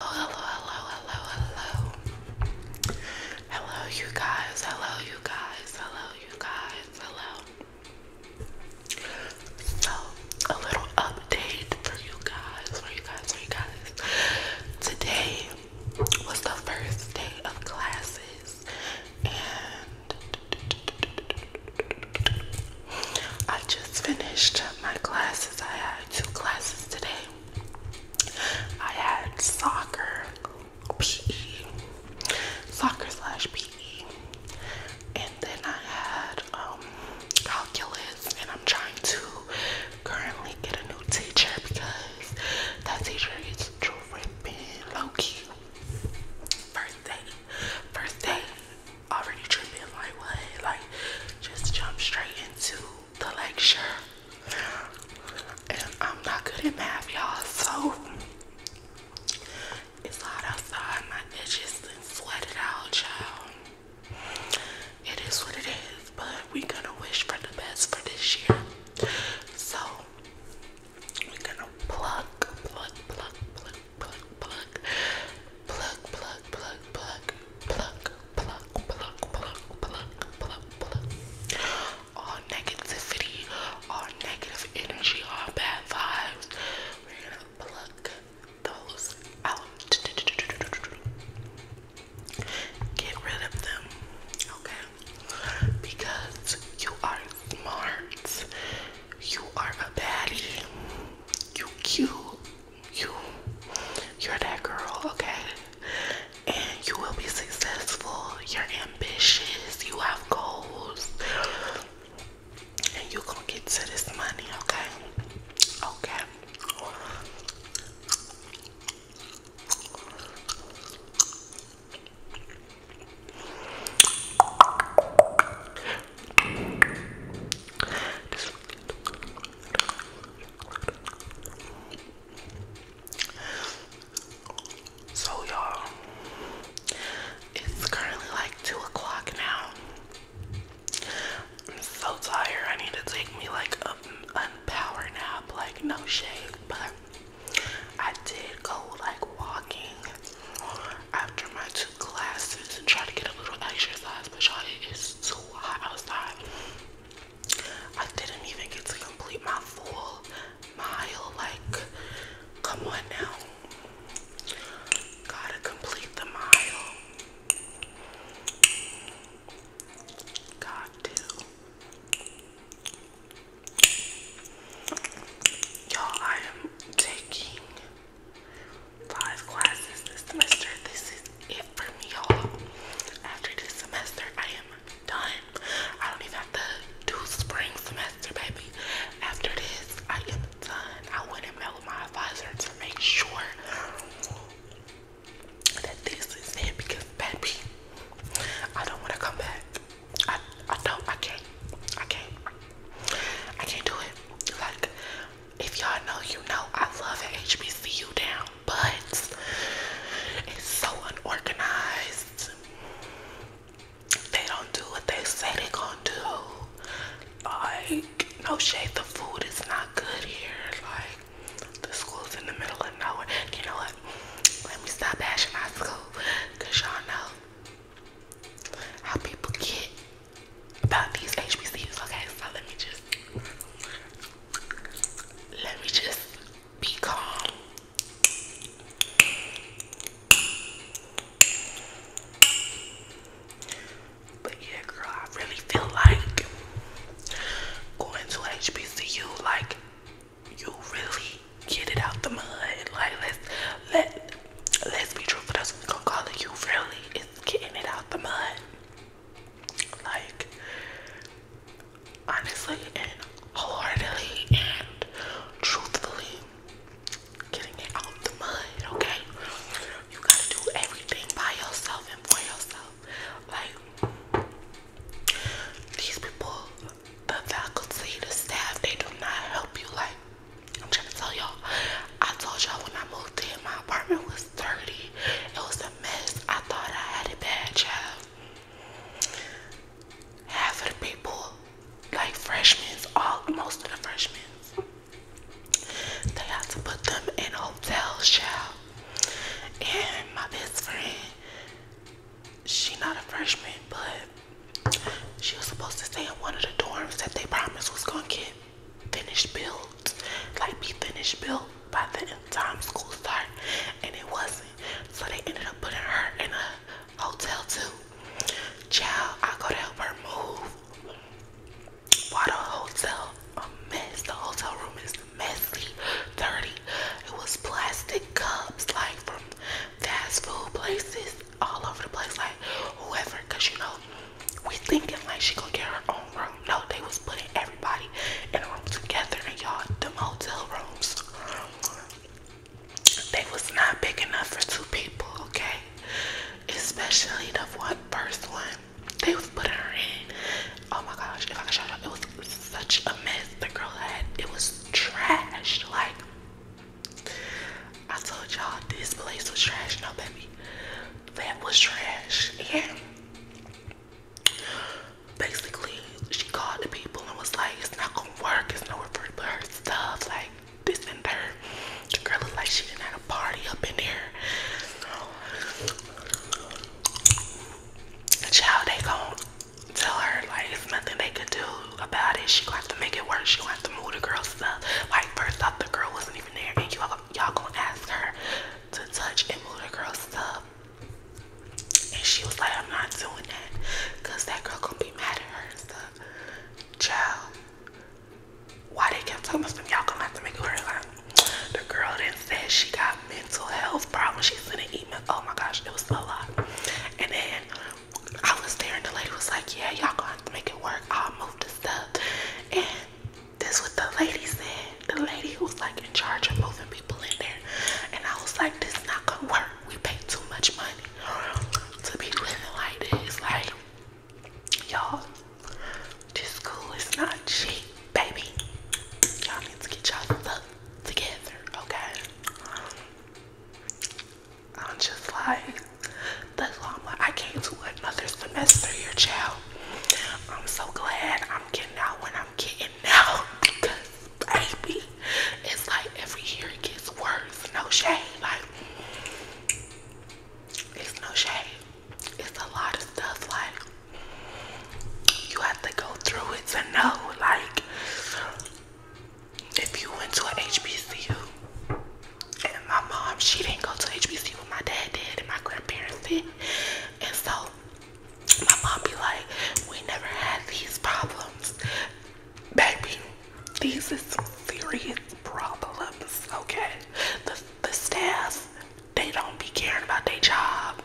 Hello, hello, hello, hello, hello. Hello, you guys. Hello, you guys. Hello, you guys. Hello. So, a little update for you guys. For you guys, for you guys. Today was the first day of classes, and I just finished my classes. I had two classes today. I had soccer, PE, soccer slash PE, and then I had um, calculus. And I'm trying to currently get a new teacher because that teacher is dripping low key. First day, first day, already tripping like what? Like just jump straight into the lecture. And I'm not good at math, y'all. So it's hot outside. My edges and sweated out, child. It is what it is, but we gonna wish for the best for this year. So we gonna pluck, pluck, pluck, pluck, pluck, pluck, pluck, pluck, pluck, pluck, pluck, pluck, pluck, pluck, pluck, pluck, pluck. All negativity, all negative energy, all bad vibes. We're gonna pluck those out. Get rid of them, okay? Because you are smart, you are a baddie, you cute, you you're that girl, okay? And you will be successful. You're ambitious. You have goals. And you're gonna get to this money, okay? Okay so y'all, it's currently like two o'clock now. I'm so tired. I need to take me like a power nap, like no shade. But I did go like walking after my two classes and try to get a little exercise, but y'all, it is too hot outside. I didn't even get to complete my full mile. Like, come on now. Gotta complete the mile. Got to. Y'all, I am taking Five classes this semester. This is it for me, y'all. After this semester, I am done. I don't even have to do spring semester, baby. After this, I am done. I went and met with my advisor to make sure that this is it because, baby, I don't want to come back. I I don't I can't I can't I can't do it. Like if y'all know you know I love an HBCU down, but it's so unorganized. They don't do what they say they gonna do. Like, no shade, the food is not good here. Like, the school's in the middle of nowhere. You know what? Let me stop bashing my school. Cause y'all know how people get about these HBCUs. Okay, so let me just let me just be calm. But yeah, girl, I really feel like going to HBCU, like you really get it out the mud. Like let's let let let us be true for what we gonna call it. You really is getting it out the mud. Like honestly and wholeheartedly and truthfully getting it out the mud, okay? You gotta do everything by yourself and for yourself. Like these people the faculty, the staff, they do not help you. Like, I'm trying to tell y'all, I told y'all when I moved in, my apartment was dirty. It was a mess. I thought I had a bad job. Half of the people, like freshmen, all most of the freshmen, they had to put them in hotel child. And my best friend, she not a freshman, but she was supposed to stay in one of the dorms that they promised was gonna get finished built, like be finished built by the time school start, and it wasn't. So they ended up putting her in a hotel too. Child, I got to help her move. Why the hotel a mess? The hotel room is messy, dirty. It was plastic cups, like from fast food places all over the place, like whoever, because you know, we thinking like she gonna get her own room. No, they was putting everybody in a room together, in y'all, the motel rooms, they was not big enough for two people, okay? Especially the one first one. They was putting her in. Oh my gosh, if I could show you, it was such a mess the girl had. It was trash. Like I told y'all, this place was trash. No, baby, that was trash. Yeah. basically, she called the people and was like, "It's not gonna work. It's nowhere for her stuff. Like this and her." The girl looked like she didn't have a party up in there. The child, they gone tell her like it's nothing they could do about it. She gonna have to make it work. She gonna have to move the girl stuff. Like first off, the girl wasn't even there, and you y'all gonna ask her to touch and move the girl stuff. And she was like, I'm not doing that, cause that girl gonna be mad at her and stuff. Child, why they kept talking about Y'all gonna have to make it work. the girl then said she got mental health problem. She sent an email. Oh my gosh, it was a lot. And then I was staring. the lady was like, "Yeah, y'all gonna have to make it work. I'll move the stuff." And this what the lady said. The lady who was like in charge of moving people in there. And I was like, "This not gonna work. We pay too much money to be living like this. Like, y'all, this school is not cheap, baby. Y'all need to get y'all stuff Together, okay? I'm just like, that's why I'm like, I came to another semester here, child. I'm so glad I'm getting out when I'm getting out because, baby, it's like every year it gets worse. No shade. Like, it's no shade. It's a lot of stuff like you have to go through it to know. Like, if you went to an HBCU, and my mom, she didn't go to HBCU, but my dad did, and my grandparents did. And so, my mom be like, we never had these problems. Baby, these is serious problems, okay? The, the staff they don't be caring about their job.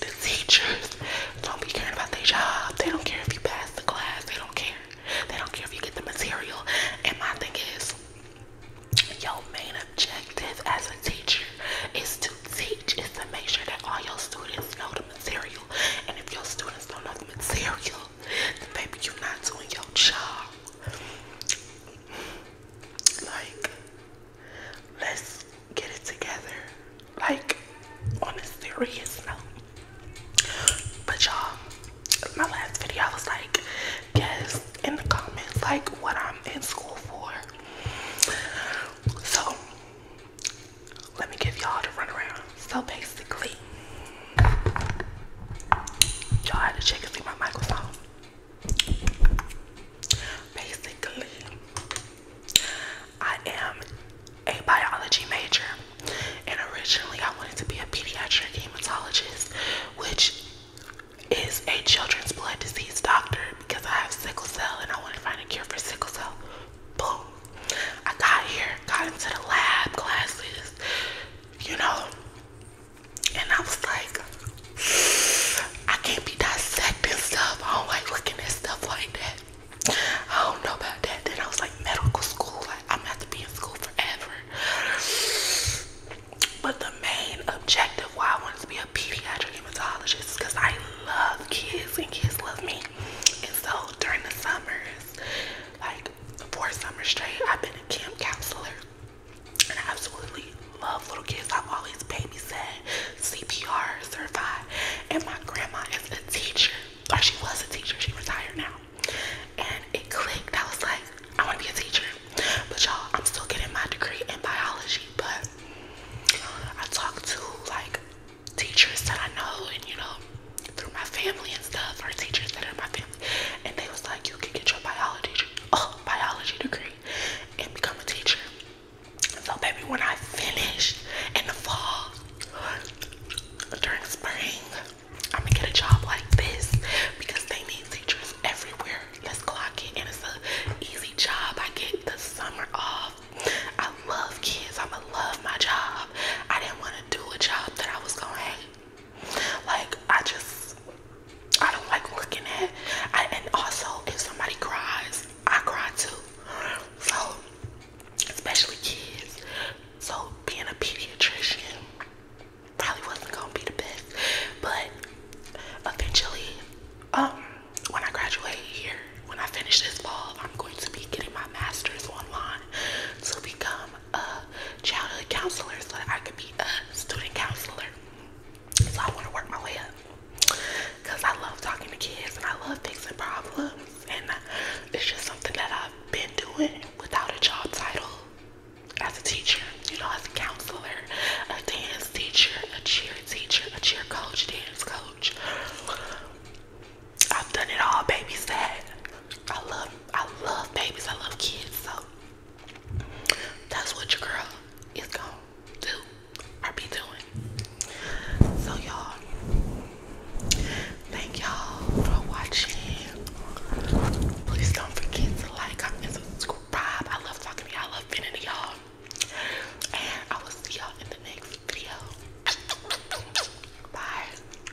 The teachers don't be caring about their job. They don't care if you pass the class. They don't care. They don't care if you get the material. And my thing is, your main objective as a teacher is to teach, is to make sure that all your students know the material. And if your students don't know the material, then baby, you're not doing your job. Like, Let's get it together. Like on a serious note. But y'all, my last video I was like, guess in the comments like what I'm in school for. So let me give y'all the runaround. So basically, y'all had to check and see my microphone. Basically, I am a biology major, and originally I wanted to be a pediatric hematologist, which is a children's blood disease doctor because I have sickle cell and I want to find a cure for sickle cell. Boom. I got here, got into the lab classes, you know, and I was like, I can't be dissecting stuff. I don't like looking at stuff like that. I don't know about that. Then I was like, medical school, I'm gonna have to be in school forever. But the main objective why I want to be a pediatric hematologist because I love kids and kids love me. And so during the summers, like four summer straight, I've been a camp counselor. And I absolutely love little kids. I've always babysat, CPR certified. And my grandma is a teacher, or she was a teacher, she retired now. And it clicked. I was like, I want to be a teacher. But y'all, I'm still getting my degree in biology. But I talk to like teachers that I know and you know, through my family and stuff, or teachers that are my family and they was like, you can get your biology, oh, biology degree and become a teacher. So baby, when I finish in the fall, during spring, I'm gonna get a job like this because they need teachers everywhere. Let's clock it, and it's an easy job. I get the summer off. I love kids. I'ma love my job. I didn't want to do a job that I was gonna hate. Like I just I don't like looking at and also if somebody cries, I cry too. So especially kids. So being a pediatrician probably wasn't gonna be the best. But eventually, um, when I graduate here, when I finish this fall, I'm going to be getting my master's online to become uh, childhood counselor so that I could be a student counselor. So I want to work my way up because I love talking to kids and I love fixing problems, and it's just something that I've been doing without a job title as a teacher, you know, as a counselor, a dance teacher, a cheer teacher, a cheer coach, dance coach. I've done it all, babysat, I love I love babies, I love kids, so that's what your girl is gonna do or be doing. So y'all thank y'all for watching. Please don't forget to like, comment, subscribe. I love talking to y'all, I love being to y'all. And I will see y'all in the next video. Bye.